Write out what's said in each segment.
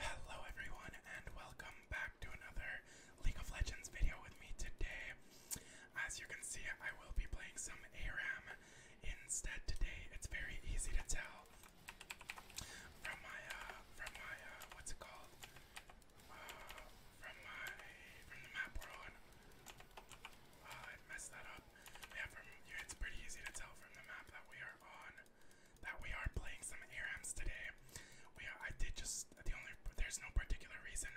Hello everyone and welcome back to another League of Legends video with me today. As you can see, I will be playing some ARAM instead today. It's very easy to tell from my uh, from my uh, what's it called? Uh, from my from the map we're on. I messed that up. Yeah, from yeah, it's pretty easy to tell from the map that we are on that we are playing some ARAMs today. We I did just the only there's no particular reason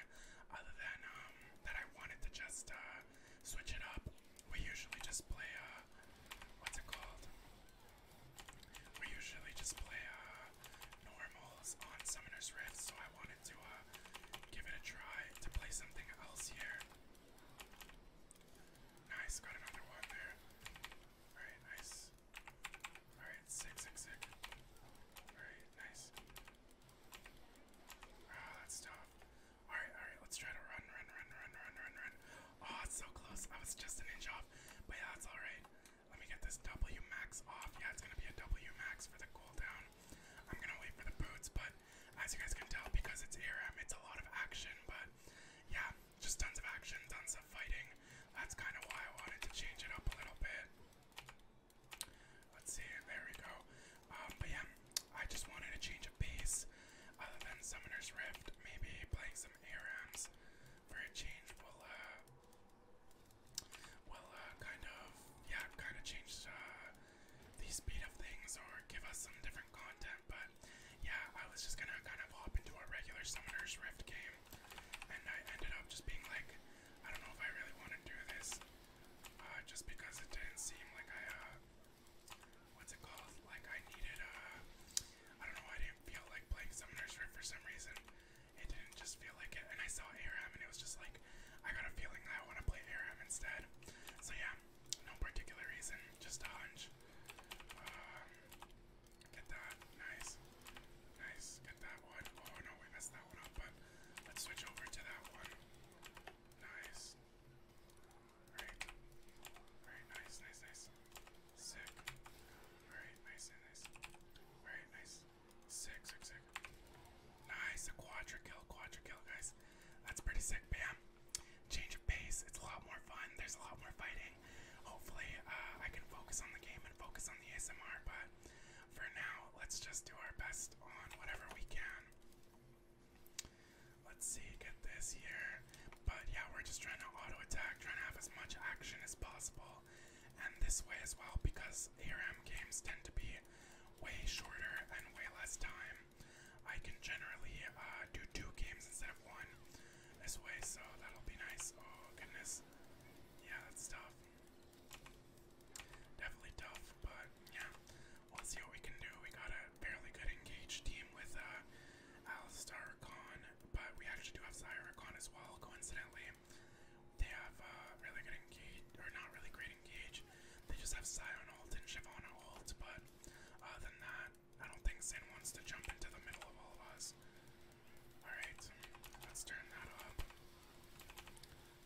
other than um, that I wanted to just uh, switch it up. We usually just play uh, what's it called? We usually just play uh, normals on Summoner's Rift, so I wanted to uh, give it a try to play something else here. Nice, got another one there. Alright, nice. Alright, sick, sick, sick. Alright, nice. Oh, that's tough. Alright, alright, let's try to run, run, run, run, run, run, run. Oh, it's so close. I was just an inch off. But yeah, that's alright. Let me get this W max off. Yeah, it's gonna be a W max for the cooldown. I'm gonna wait for the boots, but as you guys can tell, because it's ARM, it's a lot of action, but yeah, just tons of action, tons of fighting. That's kind of why I wanted to change it up a little bit. Let's see, there we go. Um, but yeah, I just wanted to change a base other than Summoner's Rift. Maybe playing some ARAMs for a change will, uh, will, uh, kind of, yeah, kind of change, uh, the speed of things or give us some different content, but but yeah, I was just gonna kind of hop into a regular Summoner's Rift game, and I ended up just being like, I don't know if I really want to do this, uh, just because it didn't seem like I, uh, what's it called? Like I needed, uh, I don't know, I didn't feel like playing Summoner's Rift for some reason. It didn't just feel like it, and I saw ARAM, and it was just like, I got a feeling that I want to play ARAM instead. So yeah, no particular reason, just a hunch. Um, Get that. Nice. Nice. Get that one. Oh no, we messed that one up, but let's switch over to that one. Nice. Alright. Alright, nice, nice, nice. Sick. Alright, nice, nice, nice. Alright, nice. Sick, sick, sick. Nice, a quadra kill, quadra kill, guys. That's pretty sick, bam change of pace. It's a lot more fun. There's a lot more fighting. Hopefully, uh, I can focus on the game and focus on the ASMR. But for now, let's just do our best on whatever we can. Let's see, get this here. But yeah, we're just trying to auto attack, trying to have as much action as possible. And this way as well, because ARM games tend to be way shorter and way less time. I can generally uh, do two games instead of one, this way, so that'll be nice. Oh goodness. Yeah, that's tough. Definitely tough, but yeah. We'll see what we can do. We got a fairly good engaged team with uh Alistar but we actually do have Zyricon as well, coincidentally. They have uh really good engage or not really great engage. They just have Scion ult and Shyvana ult, but other than that, I don't think Sin wants to jump into the middle of all of us. Alright, let's turn that up.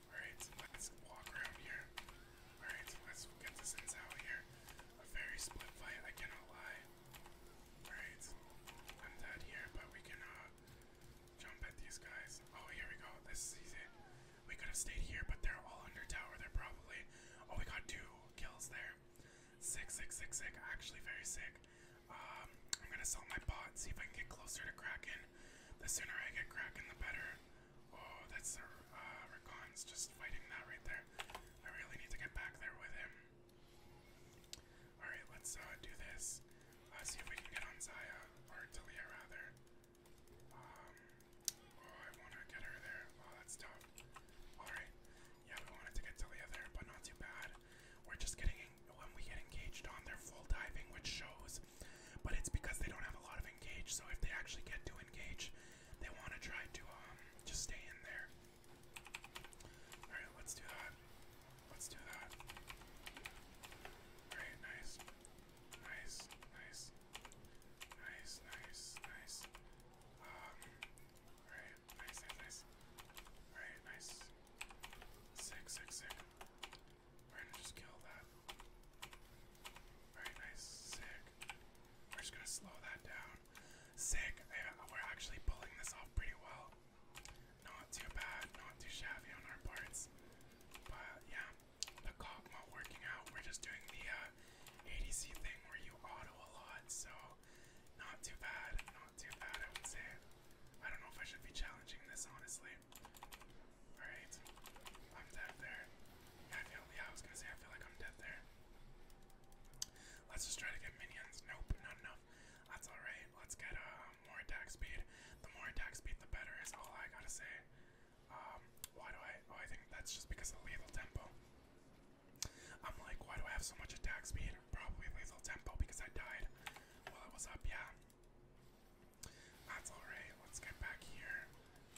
Alright, let's walk around here. Alright, let's get the Sins out here. A very split fight, I cannot lie. Alright, I'm dead here, but we can uh, jump at these guys. Oh, here we go. This is easy. We could have stayed here, but they're all under tower. They're probably. Oh, we got two kills there. Sick, sick, sick, sick. Actually, very sick. Um, I'm gonna sell my pot, see if I can get closer to Kraken. The sooner I get Kraken, the better. Oh, that's uh, Rakan's just fighting that right there. I really need to get back there with him. Alright, let's uh, do this. Uh, see if we can get on Zaya, or Talia rather. Um, oh, I want to get her there. Oh, that's tough. Alright, yeah, we wanted to get to the but not too bad. We're just getting when we get engaged on, they're full diving, which shows. But it's because they don't have a lot of engage. So if they actually get to engage, they want to try to um just stay in there. All right, let's do that. Let's do that. All right, nice, nice, nice, nice, nice, nice. Um, Alright, nice, nice, nice. Alright, nice. Sick, sick, sick. We're gonna just kill that. Alright, nice, sick. We're just gonna slow that down. Sick. Yeah, we're actually pulling this off pretty well. Not too bad, not too shabby on our parts. But yeah, the cop not working out. We're just doing the uh, ADC thing where you auto a lot, so not too bad, not too bad, I would say. I don't know if I should be challenging this, honestly. Alright, I'm dead there. I feel, yeah, I was gonna say, I feel like I'm dead there. Let's just try to get minions. Nope, not enough. That's alright. Let's get uh, more attack speed. The more attack speed, the better is all I gotta say. Um, why do I? Oh, I think that's just because of lethal tempo. I'm like, why do I have so much attack speed? Probably lethal tempo because I died while I was up, yeah. That's alright, let's get back here.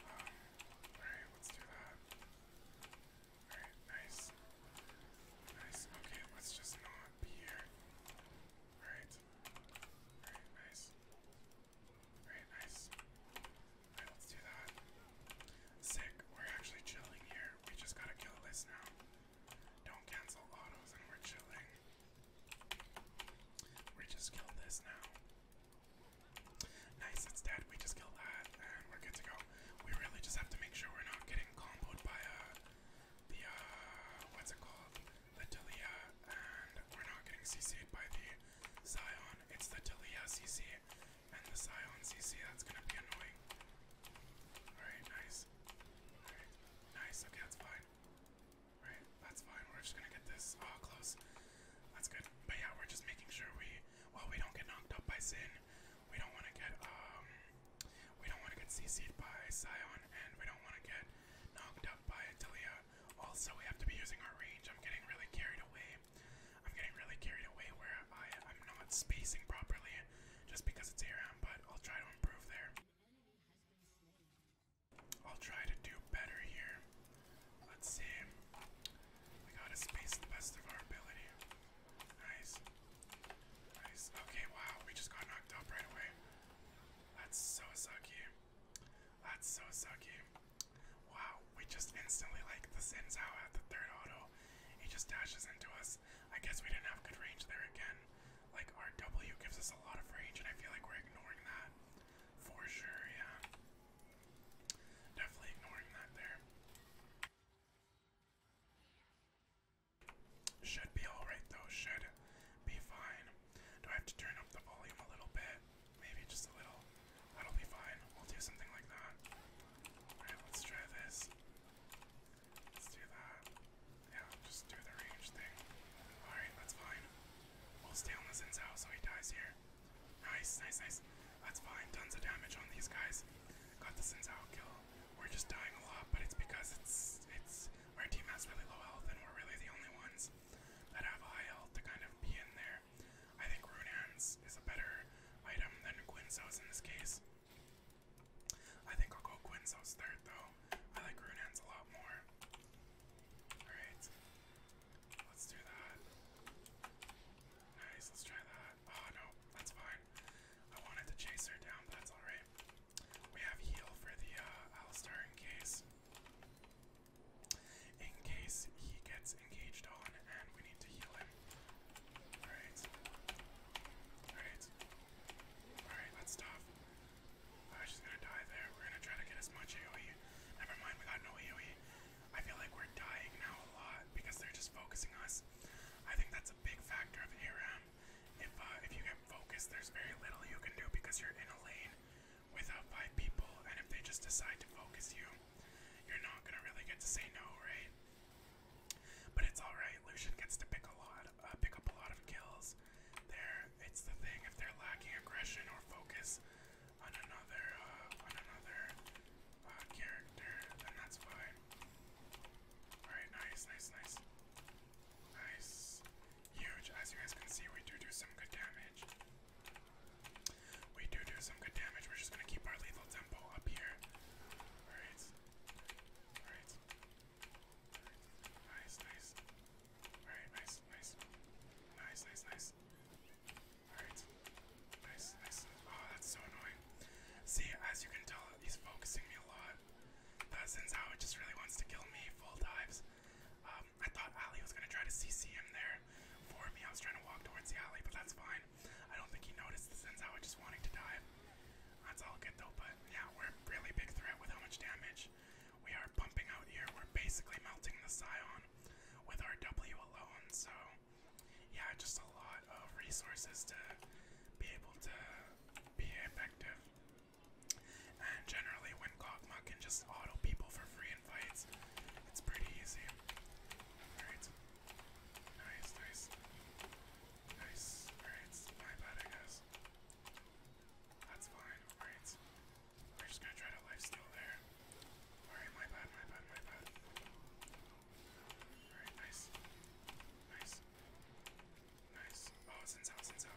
Um, alright, let's do that. Alright, nice. Nice, okay, let's just not be here. Alright. Alright, nice. Alright, nice. Alright, let's do that. Sick, we're actually chilling here. We just gotta kill this now. Don't cancel autos and we're chilling. We just killed this now. Nice, it's dead. We just killed that and we're good to go. We really just have to make sure we're not getting comboed by uh, the, uh, what's it called? The Talia, and we're not getting CC'd by the Zion. It's the Talia CC. And the Scion CC, that's gonna be annoying. Alright, nice. Alright, nice, okay, that's fine. Alright, that's fine, we're just gonna get this, oh, close. That's good, but yeah, we're just making sure we, well, we don't get knocked up by Sin. We don't wanna get, um, we don't wanna get CC'd by Scion, and we don't wanna get knocked up by Atelia. Also, we have to be using our range, I'm getting really carried away. I'm getting really carried away where I, I'm not spacing properly just because it's ARAM, but I'll try to improve there. I'll try to do better here. Let's see. We gotta space the best of our ability. Nice. Nice. Okay, wow, we just got knocked up right away. That's so sucky. That's so sucky. Wow, we just instantly like the sends out at the third auto. He just dashes into us. I guess we didn't have good range there again. Like our W gives us a lot of range, and I feel like we're ignoring that. For sure, yeah. Definitely ignoring that there. Should be alright though, should be fine. Do I have to turn up the volume a little bit? Maybe just a little. That'll be fine. We'll do something like that. Alright, let's try this. Let's do that. Yeah, just do the range thing. Alright, that's fine. We'll stay the Zinzao so he dies here. Nice, nice, nice. That's fine. Tons of damage on these guys. Got the Zinzao kill. We're just dying a lot, but it's because it's it's our team has really low health and we're really the only ones that have high health to kind of be in there I think Runan's is a better item than Quinzo's in this case. I think I'll go Quinzo's third though. I like Runan's a lot more. Alright. Let's do that. Nice, let's try that. Oh no, that's fine. I wanted to chase her down, but that's alright. We have heal for the uh in case in case he gets engaged on and we need to heal him. Alright. Alright. Alright, let's stop. Uh, gonna die there. We're gonna try to get as much AoE. Never mind, we no AoE. I feel like we're dying now a lot because they're just focusing us. I think that's a big factor of ARAM. If uh, if you get focused, there's very little you can do because you're in a lane without five people, and if they just decide to focus you, you're not gonna really get to say no, right? But it's all right. Lucian gets to pick a lot, uh, pick up a lot of kills. There, it's the thing. If they're lacking aggression or focus on another, uh, on another uh, character, then that's fine. All right, nice, nice, nice, nice. Huge. As you guys can see, we do do some good damage. We do do some good damage. We're just gonna keep our lethal tempo up here. Alright. Alright. Nice, nice. Alright, nice, nice. Nice, nice, nice. Alright. Nice, nice. Oh, that's so annoying. See, as you can tell, he's focusing me a lot. That sends just really wants to kill me, full dives. Um, I thought Ali was gonna try to CC him there for me. I was trying to walk towards the alley, but that's fine fine. I don't think he noticed since I was just wanting to dive. That's all good though, but yeah, we're a really big threat with how much damage we are pumping out here. We're basically melting the Scion with our W alone, so yeah, just a lot of resources to be able to be effective. And generally, when Kogma can just auto people for free in fights, it's pretty easy. Alright, Nice, nice. Nice. Alright, my bad, I guess. That's fine. Alright. We're just gonna try to lifesteal there. Alright, my bad, my bad, my bad. Alright, nice. Nice. Nice. Oh, Sinzo, Sinzo.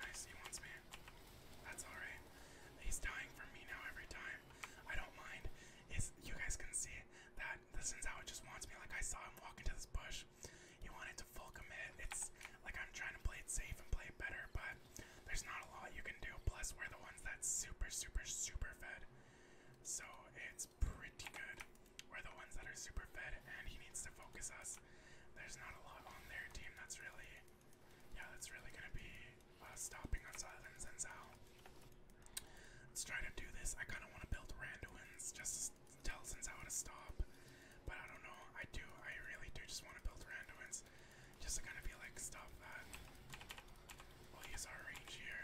Nice, he wants me. That's alright. He's dying from me now every time. I don't mind you guys can see that this is how it just wants me. Like I saw him walk into this bush. He wanted to full commit. It's like I'm trying to play it safe and play it better, but there's not a lot you can do. Plus, we're the ones that's super, super, super fed. So it's pretty good. We're the ones that are super fed, and he needs to focus us. There's not a lot on their team that's really, yeah, that's really gonna be by stopping on Silence and Zao. Let's try to do this. I kind of want to build Randuin's just tell Sin Zao to stop, but I don't know. I do. I really do just want to build Randuin's just to kind of be like, stop that. We'll oh, use our range here.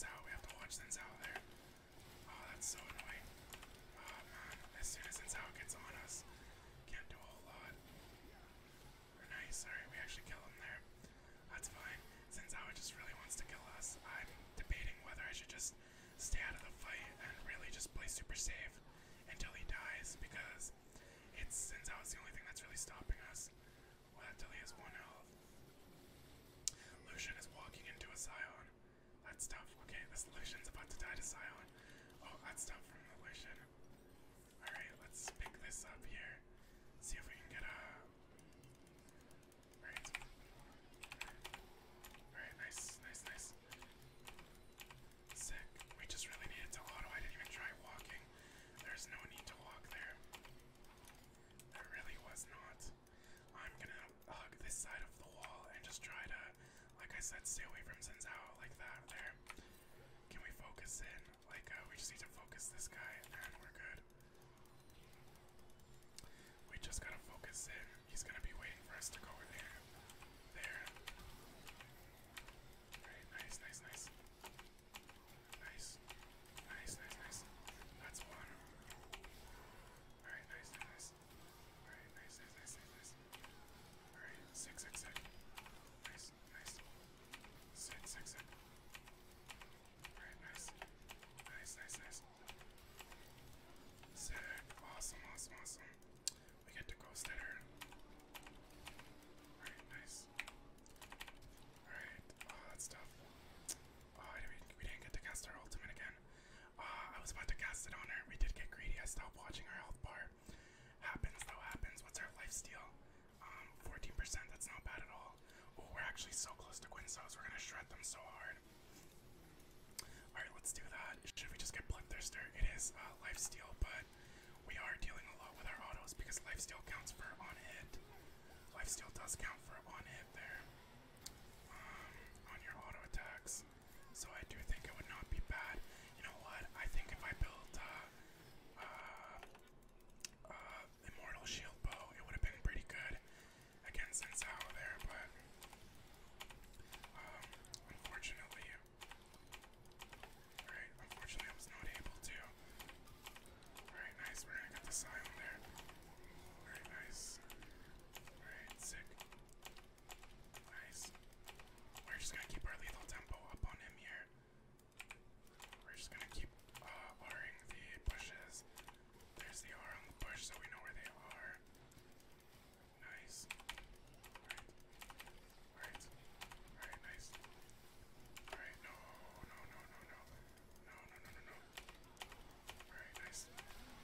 Sin we have to watch Sin Zao there. Oh, that's so annoying. Oh man, as soon as Sin gets on us, can't do a lot. Or nice, sorry, we actually killed him there. That's fine. Since Awa just really wants to kill us, I'm debating whether I should just stay out of the fight and really just play super safe until he dies, because it's since Awa's the only thing that's really stopping us. Well, until he has one health. Lucian is walking into a Scion. That's tough. Okay, this Lucian's about to die to Scion. Oh, that's tough from Lucian. Alright, let's pick this up here. See if we can get a. Alright. Alright, nice, nice, nice. Sick. We just really needed to I didn't even try walking. There's no need to walk there. There really was not. I'm gonna hug this side of the wall and just try to, like I said, stay away from Zinzao like that there. Can we focus in? Like, uh, we just need to focus this guy, and we're good. We just gotta focus in. He's gonna be waiting for us to go over there. There. Alright, nice, nice, nice. Nice. Nice, nice, nice. That's one. Alright, nice, nice, nice. nice, nice, nice, nice, nice. Alright, six, six, six. Nice, nice. Six, six, six. Alright, nice. Nice, nice, nice. Sick. Awesome, awesome, awesome. We get to ghost her. Alright, nice. Alright, oh, that's tough. Oh, we, didn't get to cast our ultimate again. Uh, I was about to cast it on her. We did get greedy. I stopped watching our health bar. Happens, though, happens. What's our life steal? Um, 14%, that's not bad at all. we're actually so close to Quinsos. We're gonna shred them so hard. Alright, let's do that. Should we just get Bloodthirster? It is uh, lifesteal, but we are dealing a lot with our autos because lifesteal counts for on hit. Lifesteal does count for on hit there. Um, on your auto attacks. So I do think it would not be bad. You know what? I think if I build, uh, uh, uh, Immortal Shield Bow. It would have been pretty good against Sensaho there, but um, unfortunately, all right, unfortunately, I was not able to. All right, nice. We're gonna get the silent there. All right, nice. All right, sick. Nice. We're just gonna keep our lethal tempo up on him here. We're just gonna keep uh, Ring the bushes. There's the R on the bush, so we know where they are. Nice. Alright. Alright. Alright, nice. Alright, no, no, no, no, no. No, no, no, no, no. nice.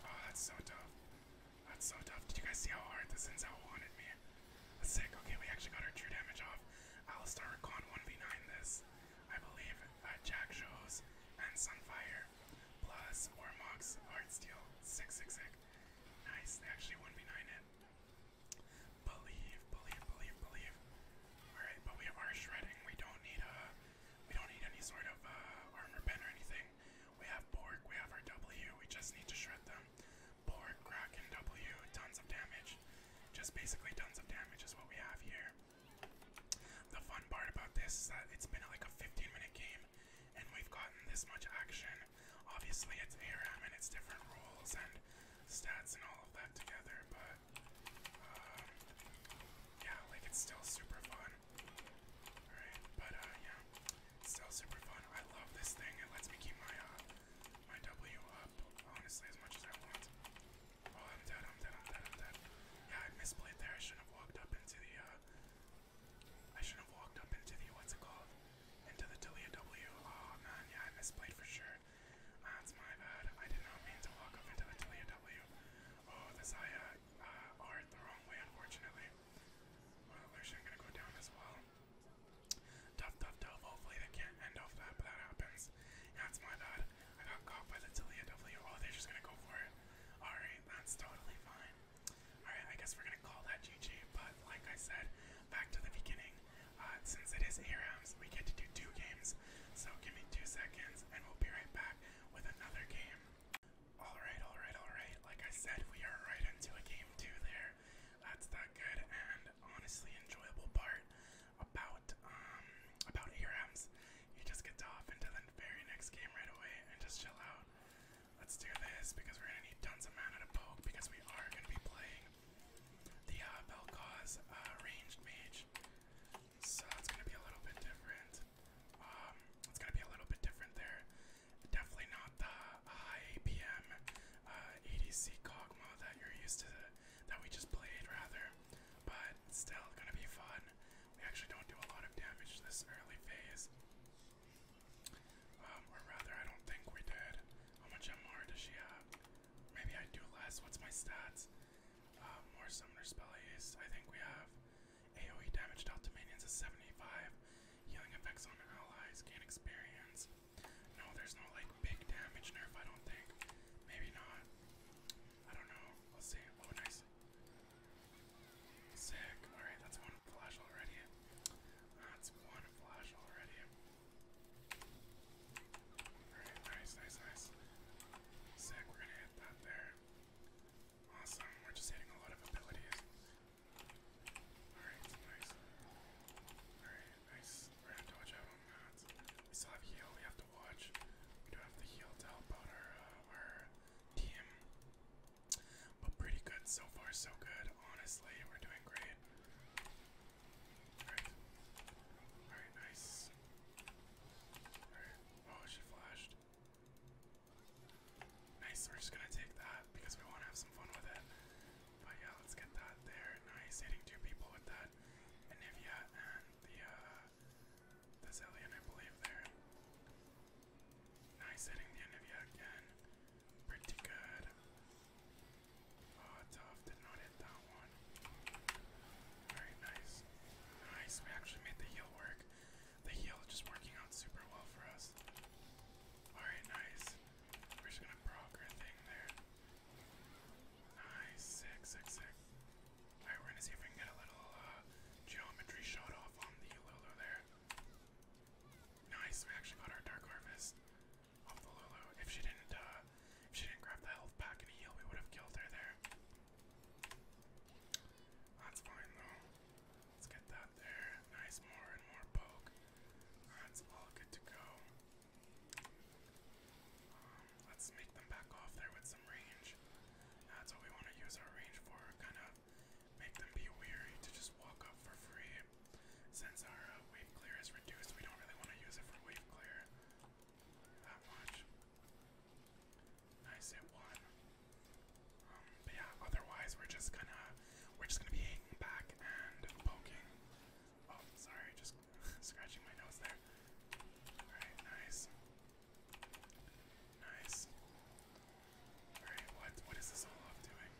Oh, that's so tough. That's so tough. Did you guys see how hard this Inzel wanted me? sick. Okay, we actually got our true damage off. Alistar Recon one v this. I believe Jack shows and Sunfire plus Ormox Heartsteel. Sick, Nice. actually one v it. Believe, believe, believe, believe. Alright, but we have our shredding. We don't need uh we don't need any sort of uh, armor pen or anything. We have Borg, we have our double here. we just need to shred them. Borg, Kraken, W, tons of damage. Just basically tons of damage is what we have here. The fun part about this is that it's been like a 15 minute game and we've gotten this much action. Obviously it's ARAM and it's different rules and stats and all of that together, but um, yeah, like it's still super fun. Alright, but uh, yeah, still super fun. I love this thing. It lets me keep my uh, my W up, honestly, as much as I want. Oh, I'm dead, I'm dead, I'm dead, I'm dead. Yeah, I misplayed there. I shouldn't have walked up into the, uh, I shouldn't have walked up into the, what's it called? Into the Delia W. Oh, man, yeah, I misplayed for sure. That's ah, my bad. I did not mean to walk up into the Delia W. Oh, the Zaya, uh, art the wrong way, unfortunately. Well, actually, I'm gonna go down as well. Tough, tough, tough. Hopefully they can't end off that, but that happens. That's my bad. I got caught by the Tilia W. Oh, they're just gonna go for it. Alright, that's totally fine. Alright, I guess we're gonna call that GG, but like I said, back to the beginning. Uh, since it is ARAMs, we get to do two games. So give me two seconds and we'll be right back with another game. Alright, alright, alright. Like I said, we are right into a game two there. That's that good and honestly enjoyable part about um about ERMs. You just get off into the very next game right away and just chill out. Let's do this because we're gonna need tons of mana to poke because we are gonna be playing the uh, Belkoz uh, ranged mage. So that's gonna be a little bit different. Um, it's gonna be a little bit different there. Definitely not the high APM uh, ADC Kog'Maw that you're used to that we just played, rather. But it's still gonna be fun. We actually don't do a lot of damage this early phase. Um, or rather, I don't think we did. How much MR does she have? Maybe I do less. What's my stats? Uh, more summoner spell I think we have AoE damage dealt to minions is 75. Healing effects on allies. Gain experience. No, there's no like big damage nerf, I don't think. Maybe not. I don't know. Let's see. Oh, nice. Sick. Alright, that's one flash already. That's one flash already. Alright, nice, nice, nice. Sick, we're gonna hit that there. Awesome, we're just hitting a lot of abilities. Alright, nice. Alright, Nice. We're gonna dodge out on that. We still have heal we have to watch. We do have the heal to help out our, uh, our team. But pretty good so far, so good. Honestly, we're doing great. Alright. Alright, nice. Alright. Oh, she flashed. Nice, we're just gonna take that because we wanna have some fun with it. But yeah, let's get that there. Nice, hitting two people with that. And and the, uh, the Zillion, I believe, there. Nice, hitting the Nivea again. Pretty good. Oh, tough. Did not hit that one. Very nice. Nice, we actually made the heal work. The heal just working out super well for us. Alright, nice. We're just gonna proc thing there. Nice, sick, sick, sick. Alright, we're gonna see if we can get a little uh, geometry shot off on the Lulu there. Nice, we actually got our Dark Harvest off the Lulu. If she didn't, uh, if she didn't grab the health pack and heal, we would have killed her there. That's fine though. Let's get that there. Nice, more and more poke. That's all good to go let's make them back off there with some range. That's what we want to use our range for, kind of make them be weary to just walk up for free. Since our uh, wave clear is reduced, we don't really want to use it for wave clear that much. Nice hit one. Um, but yeah, otherwise we're just gonna we're just gonna be hanging back and poking. Oh, sorry, just scratching my nose there. Alright, nice. Nice. Alright, what what is this all off doing?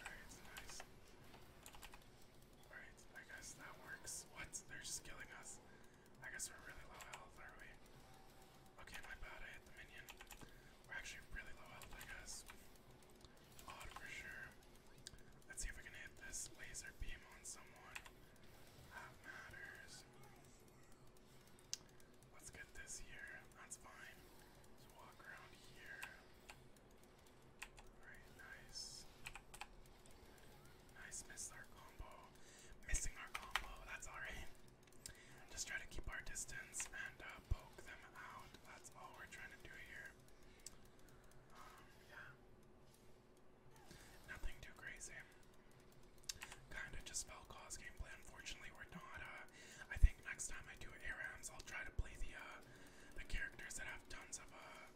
Alright, nice. Alright, I guess that works. What? They're just killing us. I guess we're really low health, are we? Okay, my bad, I hit the minion. We're actually really low health, I guess. Odd for sure. Let's see if we can hit this laser beam on someone. That matters. Let's get this here. That's fine. let walk around here. Alright, nice. Nice, missed our combo. Missing our combo, that's alright. Just try to keep our distance and uh, poke them out. That's all we're trying to do here yeah. Nothing too crazy. Kind of just fell cause gameplay. Unfortunately, we're not. Uh, I think next time I do airams, I'll try to play the uh, the characters that have tons of uh,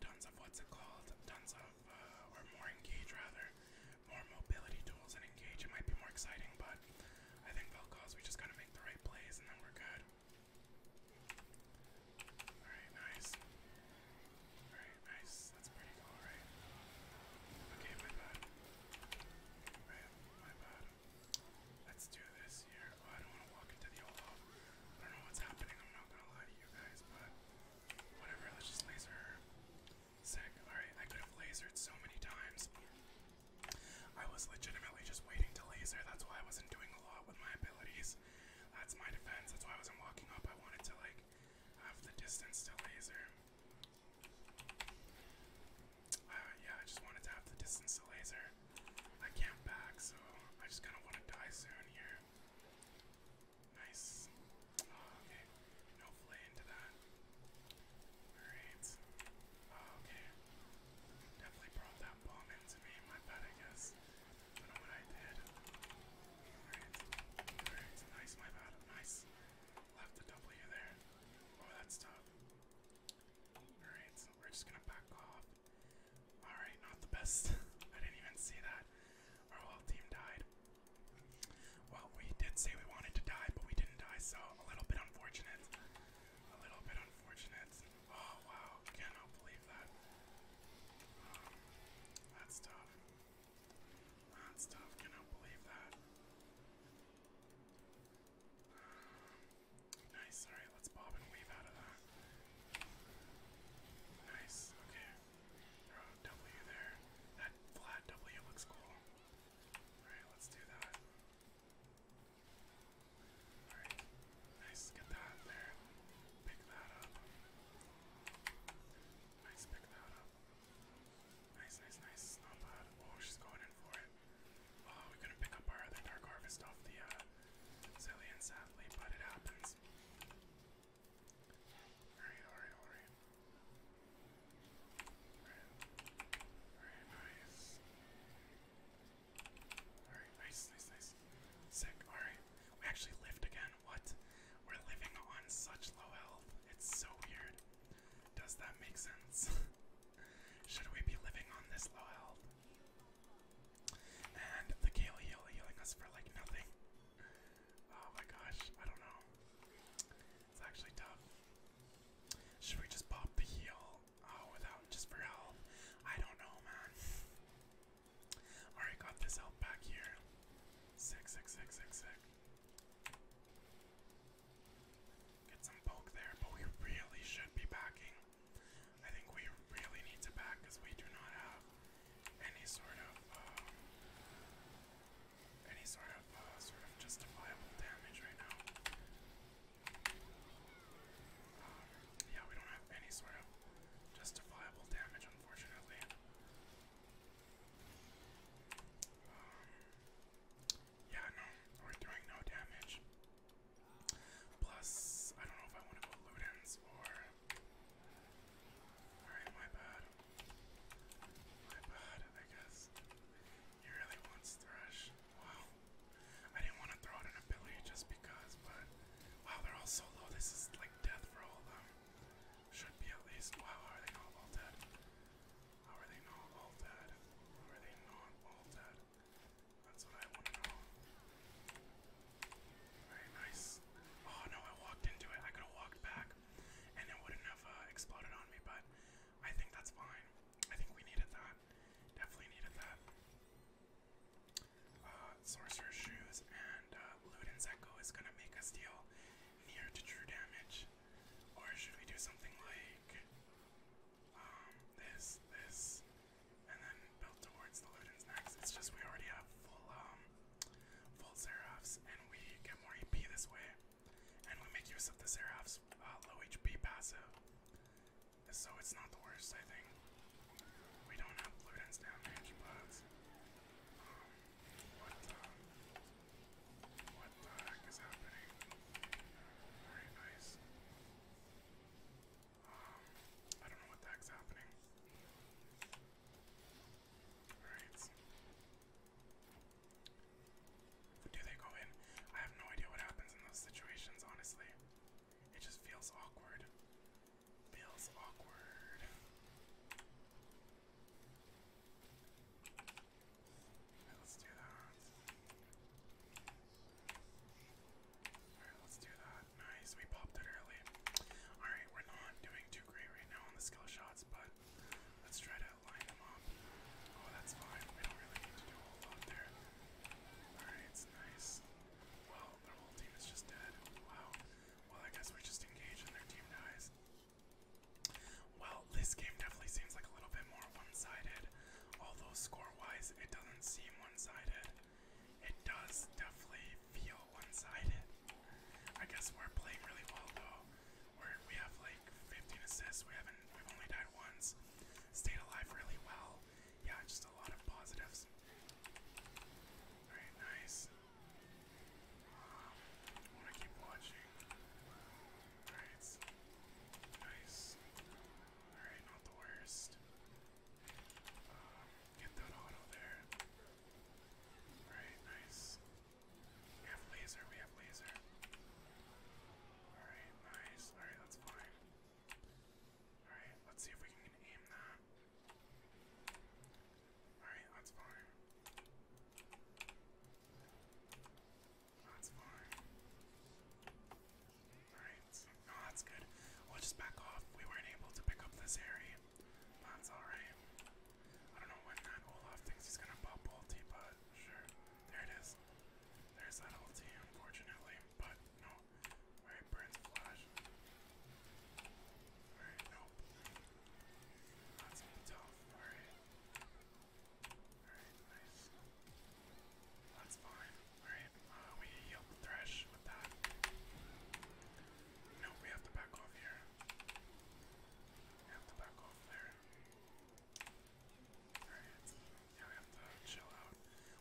tons of what's it called? Tons of uh, or more engage rather, more mobility tools and engage. It might be more exciting, but I think fell cause we just gotta make the right plays and then we're good. Alright, nice. Alright, nice. That's pretty cool, right? Okay, my bad. My, my bad. Let's do this here. Oh, I don't want to walk into the old hall. I don't know what's happening, I'm not gonna lie to you guys, but whatever, let's just laser her. Sick. Alright, I could have lasered so many times. I was legitimately just waiting to laser. That's why I wasn't doing a lot with my abilities. That's my defense. That's why I wasn't walking up. I wanted to, like, have the distance to laser. Uh, yeah, I just wanted to have the distance to laser. I can't back, so I just kind of want to die soon here. Nice. Oh, okay. No flay into that. Alright. Oh, okay. Definitely brought that bomb into me, my bad, I guess. what I did. Alright, alright, nice, my bad, nice. Left the W there. Oh, that's tough. Alright, so we're just gonna back off. Alright, not the best. I didn't even see that. Our whole team died. Well, we did say we wanted to die, but we didn't die, so a little bit unfortunate. A little bit unfortunate. Oh wow, cannot believe that. Um, that's tough. That's cannot believe that. Um, nice, alright, let's bob and weave out of that. Nice, okay. Throw there. That flat W looks cool. Alright, let's do that. Alright, nice, get that there. Pick that up. Nice, pick that up. Nice, nice, nice. Snowpod. Oh, she's going in for it. Oh, we couldn't pick up our other Dark Harvest off the uh, Zillion, sadly, but it happens. Alright, alright, alright. Alright, alright, nice. Alright, nice, nice, nice. Sick, alright. We actually lived again. What? We're living on such low health. It's so weird. Does that make sense? Should we be living on this low health? And the Gale heal healing us for like nothing. Oh my gosh, I don't know. It's actually tough. Should we just pop the heal Oh, without just for help. I don't know, man. Alright, got this help back here. Sick, Get some poke there, but we really should be backing. I think we really need to back because we do not have any sort of um, any sort of uh, sort of justifiable damage right now. Yeah, we don't have any sort of justifiable damage, unfortunately. Um, yeah, no, we're doing no damage. Plus, I don't know if I want to go Ludens or. Alright, my bad. My bad, I guess. He really wants Thresh. Wow. I didn't want to throw out an ability just because, but wow, they're all so low. This is like death for all of them. Should be at least. how are they not all dead? How are they not all dead? How are they not all dead? That's what I want to know. Very nice. Oh no, I walked into it. I could have walked back and it wouldn't have uh, exploded on me, but I think that's fine. I think we needed that. Definitely needed that. Uh, Sorcerer's Shoes and uh, is gonna make us deal near to true damage. Or should we do something like um, this, this, and then build towards Luden's next? It's just we already have full, um, full Seraphs and we get more EP this way. And we make use of the Seraph's uh, low HP passive. So it's not the worst, I think. We don't have blue dens damage, but um, uh, what the heck is happening? Very nice. Um, I don't know what the heck's happening. Alright. Do they go in? I have no idea what happens in those situations, honestly. It just feels awkward. Feels awkward. let's do that. Alright, let's do that. Nice, we popped it early. Alright, we're not doing too great right now on the skill shots, but let's try to line them up. Oh, that's fine. We don't really need to do a lot there. Alright, nice. Well, their whole team is just dead. Wow. Well, I guess we just engage and their team dies. Well, this game definitely seems like a little bit more one-sided. Although score-wise, it doesn't seem one-sided. It does definitely feel one-sided. I guess we're playing really well though. We're, we have like 15 assists. We haven't. We've only died once stayed alive really well. Yeah, just a lot of positives. Alright, nice. I um, want to keep watching. Alright. Nice. Alright, not the worst. Um, get that auto there. Alright, nice. We have laser, we have laser. Alright, nice. Alright, that's fine. Alright, let's see if we can aim that. Alright, that's fine. That's fine. Alright, no, that's good. We'll just back off. We weren't able to pick up this area. That's alright. I don't know when that Olaf thinks he's gonna pop ulti, but sure. There it is. There's that ulti, unfortunately, but no. Alright, burns flash. Alright, nope. That's tough. Alright. Alright, nice. That's fine. Alright, uh, we healed the Thresh with that. No, we have to back off here. have to back off there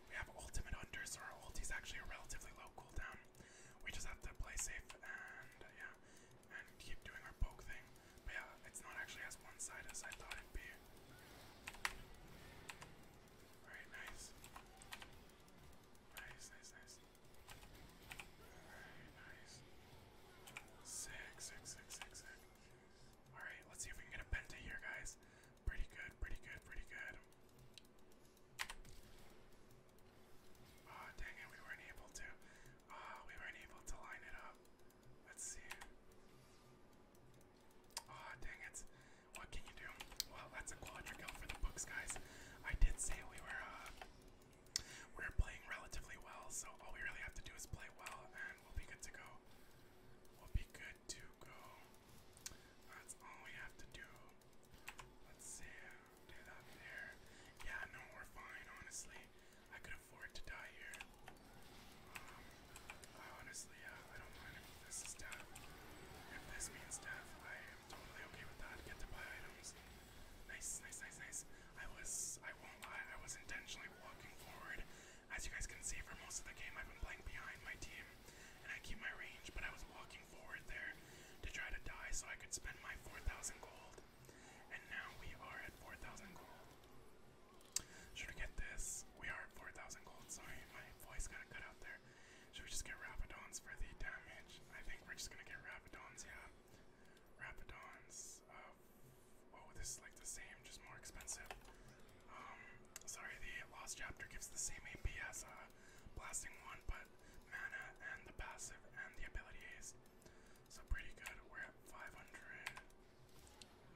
we have ultimate under, so our ult is actually a relatively low cooldown. We just have to play safe and, yeah, and keep doing our poke thing. But yeah, it's not actually as one-sided as I thought it'd be. Alright, nice. Nice, nice, nice. Alright, nice. Sick, Alright, let's see if we can get a penta here, guys. Pretty good, pretty good, pretty good. Oh, dang it, we weren't able to. Oh, we weren't able to line it up. Let's see. Oh, dang it. What can you do? Well, that's a quadra for the books, guys. I did say we were, uh, we're playing relatively well, so all we really have to do is play well, and we'll be good to go we'll be good to go. That's all we have to do. Let's see, do that there. Yeah, no, we're fine, honestly. I could afford to die here. Um, I honestly, yeah, I don't mind if this is death. If this means death, I am totally okay with that. Get to buy items. Nice, nice, nice, nice. I was, I won't lie, I was intentionally walking forward as you guys can see, for most of the game, I've been playing behind my team, and I keep my range, but I was walking forward there to try to die so I could spend my 4,000 gold. And now we are at 4,000 gold. Should we get this? We are at 4,000 gold. Sorry, my voice got cut out there. Should we just get Rapidons for the damage? I think we're just gonna get Rapidons, yeah. Rapidons. Uh, oh, this is like the same, just more expensive. Um, sorry, the Lost Chapter gives the same AP as uh, Blasting 1, but mana and the passive and the ability So pretty good. We're at 500.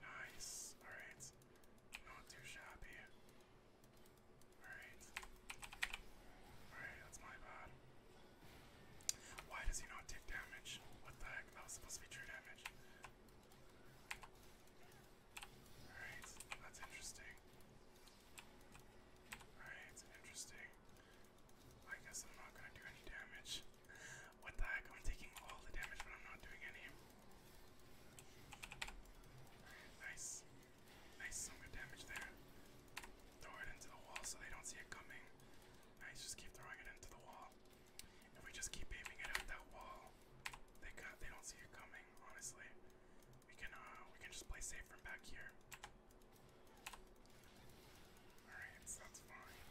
Nice. Alright. Not too shabby. Alright. Alright, that's my bad. Why does he not take damage? What the heck? That was supposed to be true damage. Alright, that's interesting. Alright, interesting. I guess I'm not gonna do any damage. What the heck? I'm taking all the damage, but I'm not doing any. Alright, nice. Nice, some good damage there. Throw it into the wall so they don't see it coming. Nice, just keep throwing it into the wall. If we just keep waving it up that wall, they got they don't see it coming, honestly. We can uh we can just play safe from back here. Alright, that's fine.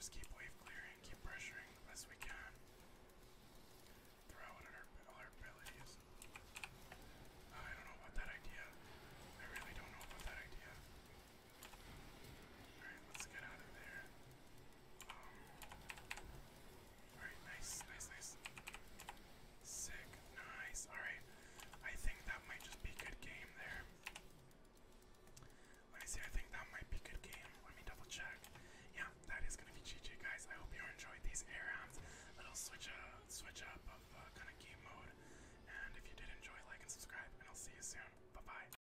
Just keep wave clearing, keep pressuring the best we can. Throw out our, our abilities. I don't know about that idea. I really don't know about that idea. Alright, let's get out of there. Um, Alright, nice, nice, nice. Sick, nice. Alright, I think that might just be good game there. Let me see, I think that might be good game. Let me double check. Yeah, that is gonna be GG, guys. I hope you enjoyed these air rounds. Little switch, up, uh, switch up of uh, kind of game mode. And if you did enjoy, like and subscribe, and I'll see you soon. Bye bye.